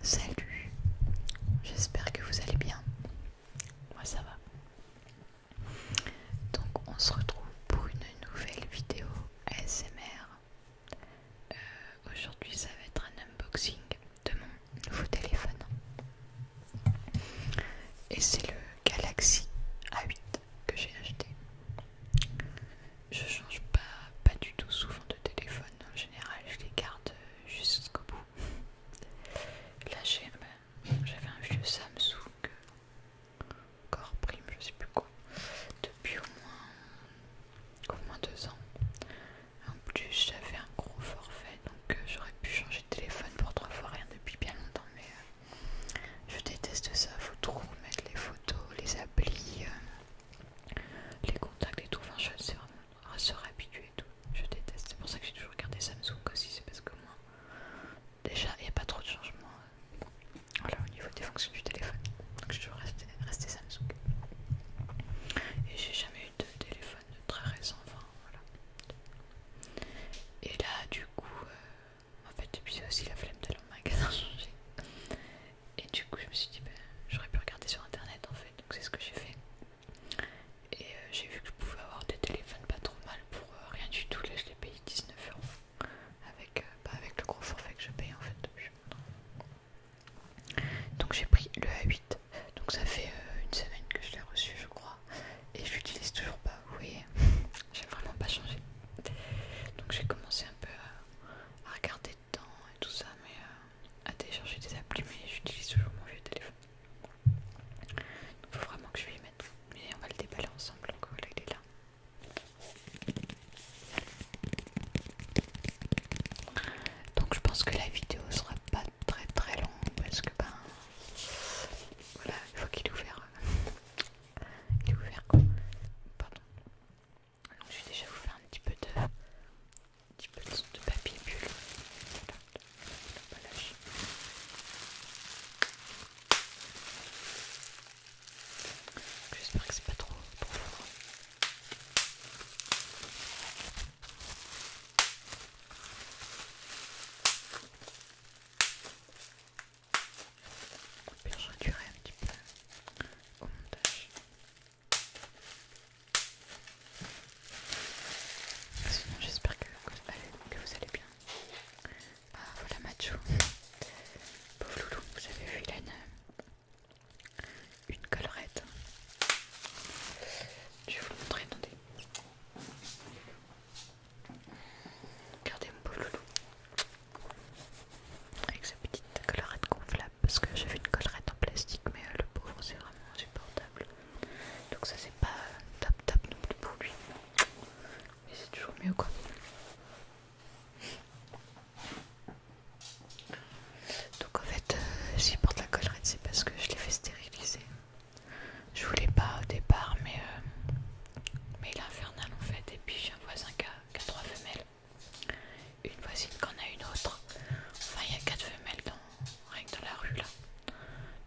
Salut, j'espère que vous allez bien. Moi ça va. Donc on se retrouve pour une nouvelle vidéo ASMR. Euh, aujourd'hui ça va être un unboxing de mon nouveau téléphone. Et c'est le Galaxy A8 que j'ai acheté. Je change pas, pas du tout souvent de téléphone. En général, je les garde euh, jusqu'au bout. Là, euh, j'avais un vieux Samsung, euh, corps prime, je sais plus quoi, depuis au moins, moins deux ans. En plus, j'avais un gros forfait, donc j'aurais pu changer de téléphone pour trois fois rien depuis bien longtemps, mais je déteste ça, faut trop mettre les photos, les applis, euh, les contacts et tout. Enfin, je sais vraiment se réhabituer et tout. Je déteste. C'est pour ça que j'ai toujours gardé Samsung aussi, c'est parce que moi, déjà, il n'y a pas trop de changements euh, au niveau des fonctions du téléphone. Donc, j'ai toujours resté, Samsung. Et j'ai jamais eu de téléphone de très récent, enfin, voilà. Et là, du coup, euh, en fait, depuis aussi la flemme de au magasin changer. Et du coup, je me suis dit, ben, j'aurais pu regarder sur internet en fait, donc c'est ce que j'ai fait. Et euh, j'ai vu que je pouvais avoir des téléphones pas trop mal pour euh, rien du tout. Là, je l'ai payé 19 euros avec, euh, bah, avec le gros forfait que je paye en fait. Donc j'ai pris le A8, donc ça fait une semaine que je l'ai reçu je crois, et je l'utilise toujours pas, vous voyez j'ai vraiment pas changé. Donc j'ai commencé un peu à, regarder dedans et tout ça, mais euh, à télécharger des applis, mais j'utilise toujours mon vieux téléphone. Donc faut vraiment que je y mettre. Mais on va le déballer ensemble, donc voilà, il est là. Donc je pense que la vidéo sera pas très très longue parce que ben voilà, il faut qu'il ouvre. Il ouvert je vais déjà vous faire un petit peu de, papier bulle. J'espère que c'est pas trop, je réduirai un petit peu au montage. Sinon, j'espère que, vous allez bien. Ah, voilà Macho. Pauvre loulou, vous avez vu, la une, une collerette. Je vais vous le montrer, attendez. Regardez mon beau loulou. Avec sa petite collerette gonflable, parce que j'avais une collerette en plastique, mais euh, le pauvre c'est vraiment insupportable. Donc ça c'est pas tap top top non plus pour lui. Mais c'est toujours mieux quoi. Donc en fait, euh, si je porte la collerette, c'est parce que je l'ai fait stériliser. Je voulais pas au départ, mais, euh, mais il est infernal en fait. Et puis j'ai un voisin qui a, trois femelles, une voisine qu'on a une autre. Enfin, il y a quatre femelles dans, rien dans la rue là.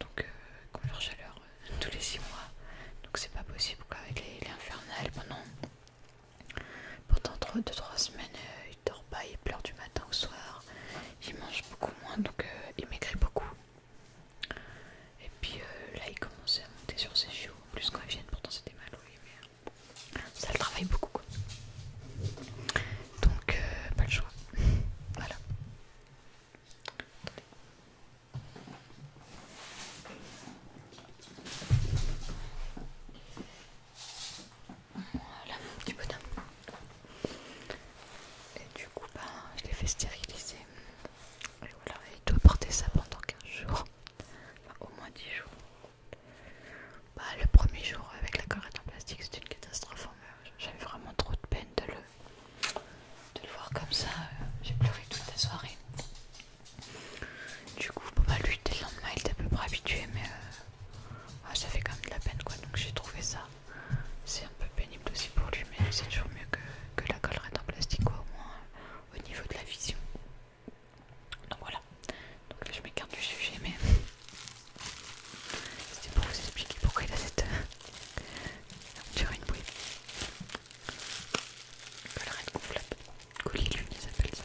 Donc, euh, qu'on chaleur euh, tous les six mois. Donc, c'est pas possible qu'avec Il est, infernal pendant. Pendant 2-3 semaines, il dort pas, il pleure du matin au soir, il mange beaucoup moins donc il maigrit beaucoup. Et puis euh, là, il commençait à monter sur ses chiots. plus, quand ils viennent, pourtant c'était mal oui, mais euh, ça le travaille beaucoup. Quoi. Donc, euh, pas le choix. voilà. Voilà, du bonhomme. Et du coup, ben, je l'ai fait stériliser. Et voilà, il doit porter ça pendant 15 jours, au moins 10 jours. Bah, le premier jour avec la corette en plastique, c'était une catastrophe. Hein. J'avais vraiment trop de peine de le, voir comme ça. Euh, j'ai pleuré toute la soirée. Du coup, bah, lui, dès le lendemain, il était à peu près habitué, mais euh, ah, ça fait quand même de la peine quoi. Donc, j'ai trouvé ça c'est un peu pénible aussi pour lui, mais c'est toujours mieux que, la collerette en plastique, au moins euh, au niveau de la vision. Donc voilà, donc là, je m'écarte du sujet, mais c'était pour vous expliquer pourquoi il a cette durée une bouée. Collerette gonflable, lune, ils appellent ça.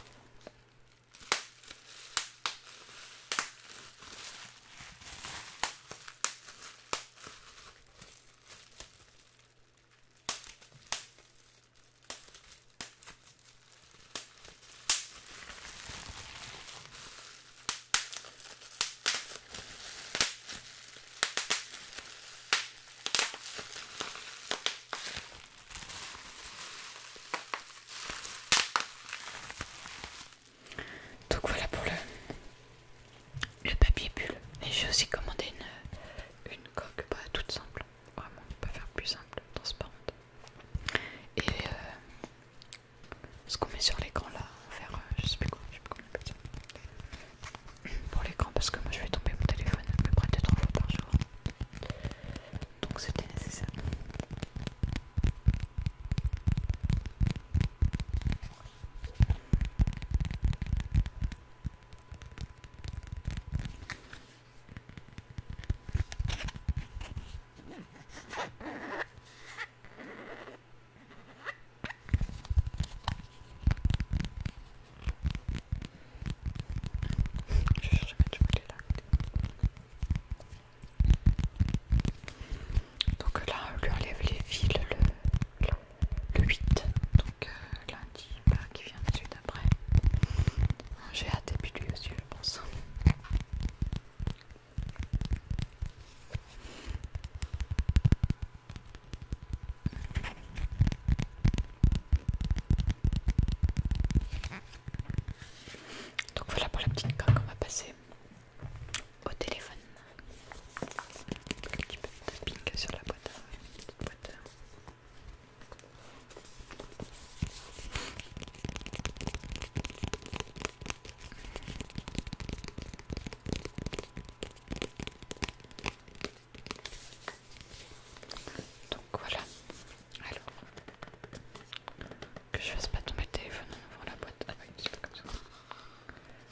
Donc voilà pour le le papier bulle. Et j'ai aussi commandé une, euh, coque bah, toute simple. Vraiment, pas faire plus simple, transparente. Et euh, ce qu'on met sur l'écran là, on va faire je sais plus quoi, je sais pas comment on appelle Pour l'écran, parce que moi je vais tomber mon téléphone à peu près 2-3 fois par jour. Donc c'était nécessaire. Je cherche à mettre du là. Donc là, on lui enlève les fils, le, le 8, donc euh, lundi, bah, qui vient suite après, J'ai hâte et puis lui aussi, je pense. Donc voilà pour la petite coque qu'on va passer au téléphone. Un petit peu de tapping sur la boîte. Petite hein. boîte. Donc voilà, alors que je fasse pas tomber le téléphone en la boîte. Ah, bah, comme ça.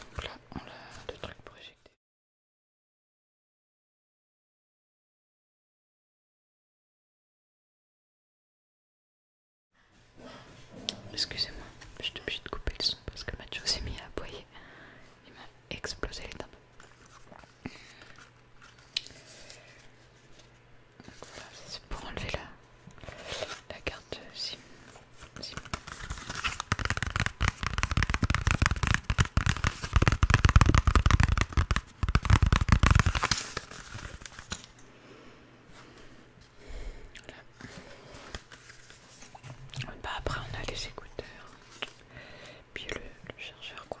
Donc là, on a deux trucs pour éjecter. Excusez-moi, je suis obligée de couper le son parce que Mathieu s'est mis à aboyer. Il m'a explosé les dents. Donc voilà, c'est pour enlever là la carte si. Bah après on a les écouteurs, puis le, chargeur quoi.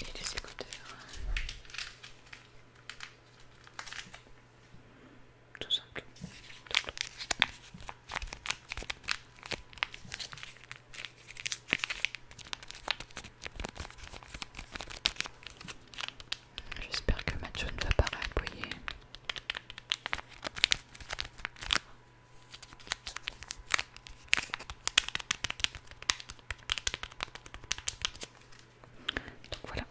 Et les écouteurs. Tout simplement. J'espère que ma ne va pas voyez Donc voilà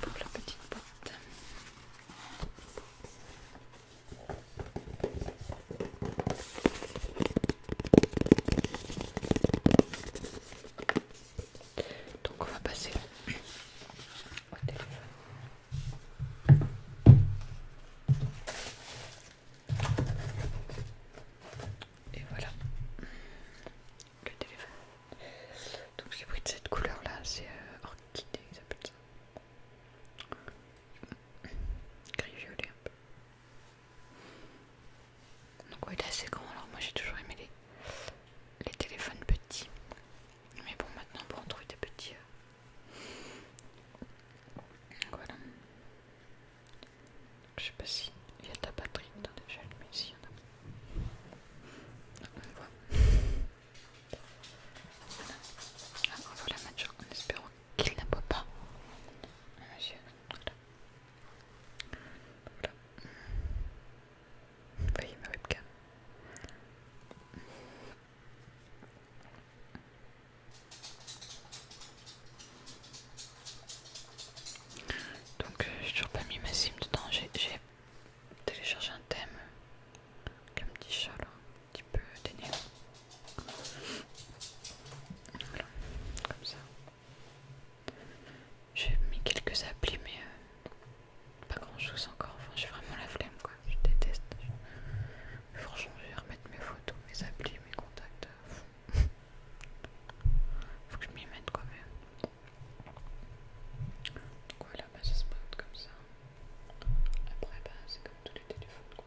pour la petite boîte. Donc on va passer au téléphone. Et voilà le téléphone. Donc j'ai pris de cette couleur là, c'est euh, orchidée, ils appellent ça. Gris violet un peu. Donc ouais, il est assez grand, alors moi j'ai toujours aimé les, téléphones petits. Mais bon, maintenant on pour en trouver des petits... Euh, donc voilà. Je sais pas si il y a ta batterie déjà, mais si y en a. Ah, on voit. Voilà. Ah, on voit la mettre en espérant qu'il ne pas. Ah, voilà. Vous voyez ma webcam donc euh, j'ai toujours pas mis ma sim dedans, j'ai téléchargé un thème comme petit chat là, un petit peu dénué voilà, comme ça. J'ai mis quelques applis, mais euh, pas grand chose encore. Enfin, j'ai vraiment la flemme quoi. Je déteste. Franchement, je vais remettre mes photos, mes applis, mes contacts. Euh, Faut que je m'y mette quand même. voilà, bah, ça se pointe comme ça. Après, bah, c'est comme tous les téléphones quoi.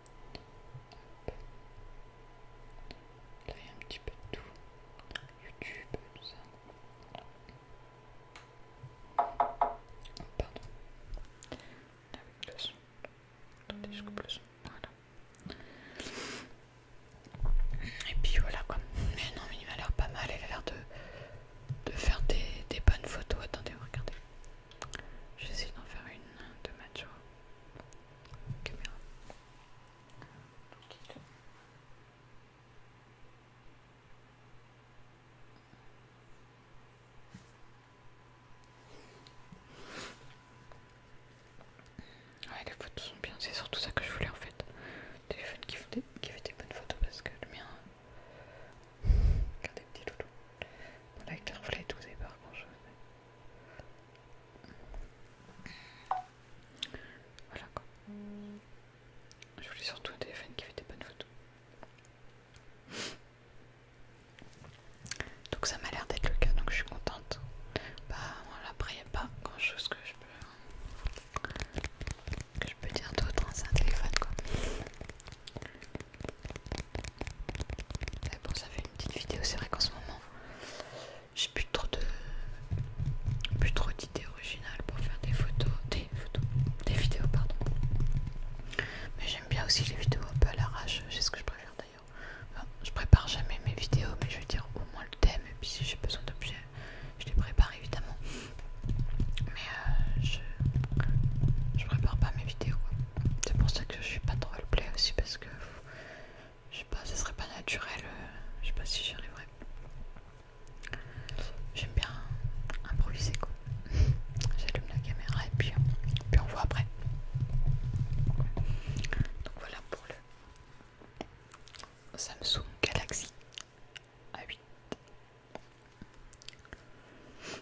Là, il y a un petit peu de tout. YouTube, tout ça. pardon. Ah oui, le son. Attendez, je Voilà. Et puis voilà quoi. Mais non, mais il m'a l'air pas mal. il a l'air de, faire des, bonnes photos. Attendez, regardez. essayer d'en faire une de Mathieu caméra. les photos sont bien, c'est surtout ça que je voulais en fait. Téléphone qui fait, des, qui des bonnes photos parce que le mien. Regardez, euh, petit loulou. Là, avec les et tout, avez pas grand chose. Voilà quoi. Je voulais surtout un téléphone qui fait des bonnes photos. Donc ça m'a l'air d'être le cas, donc je suis contente. Bah voilà, après il n'y a pas grand chose que je peux, dire d'autre, dans hein, un téléphone quoi. Euh, bon, ça fait une petite vidéo. C'est vrai qu'en ce moment, j'ai plus trop de, plus trop d'idées originales pour faire des photos, des photos, des vidéos, pardon. Mais j'aime bien aussi les vidéos un peu à l'arrache. C'est ce que je préfère d'ailleurs. je prépare jamais mes vidéos, mais je veux dire au moins le thème. Et puis si j'ai besoin d'objets, je les prépare évidemment. Mais euh, je, je prépare pas mes vidéos. C'est pour ça je suis pas à le play aussi parce que je sais pas, ce serait pas naturel. Euh, je sais pas si j'y arriverai J'aime bien improviser quoi. J'allume la caméra et puis, euh, puis on voit après. Donc voilà pour le Samsung Galaxy A8.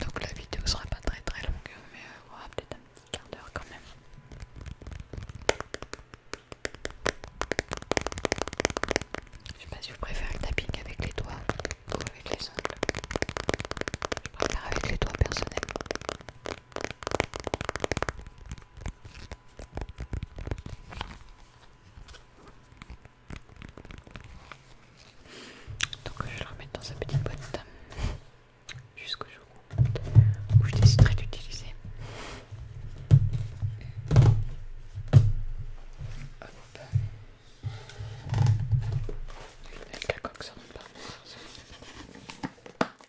Donc la vidéo sera pas très très longue, mais euh, on aura peut-être un petit quart d'heure quand même. Je sais pas si vous préférez le tapping avec les doigts ou avec les ongles. Je préfère avec les doigts personnellement. Donc je vais le remettre dans sa petite boîte jusqu'au jour où je déciderai d'utiliser.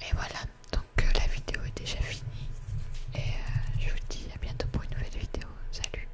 Et voilà, donc euh, la vidéo est déjà finie. Et euh, je vous dis à bientôt pour une nouvelle vidéo. Salut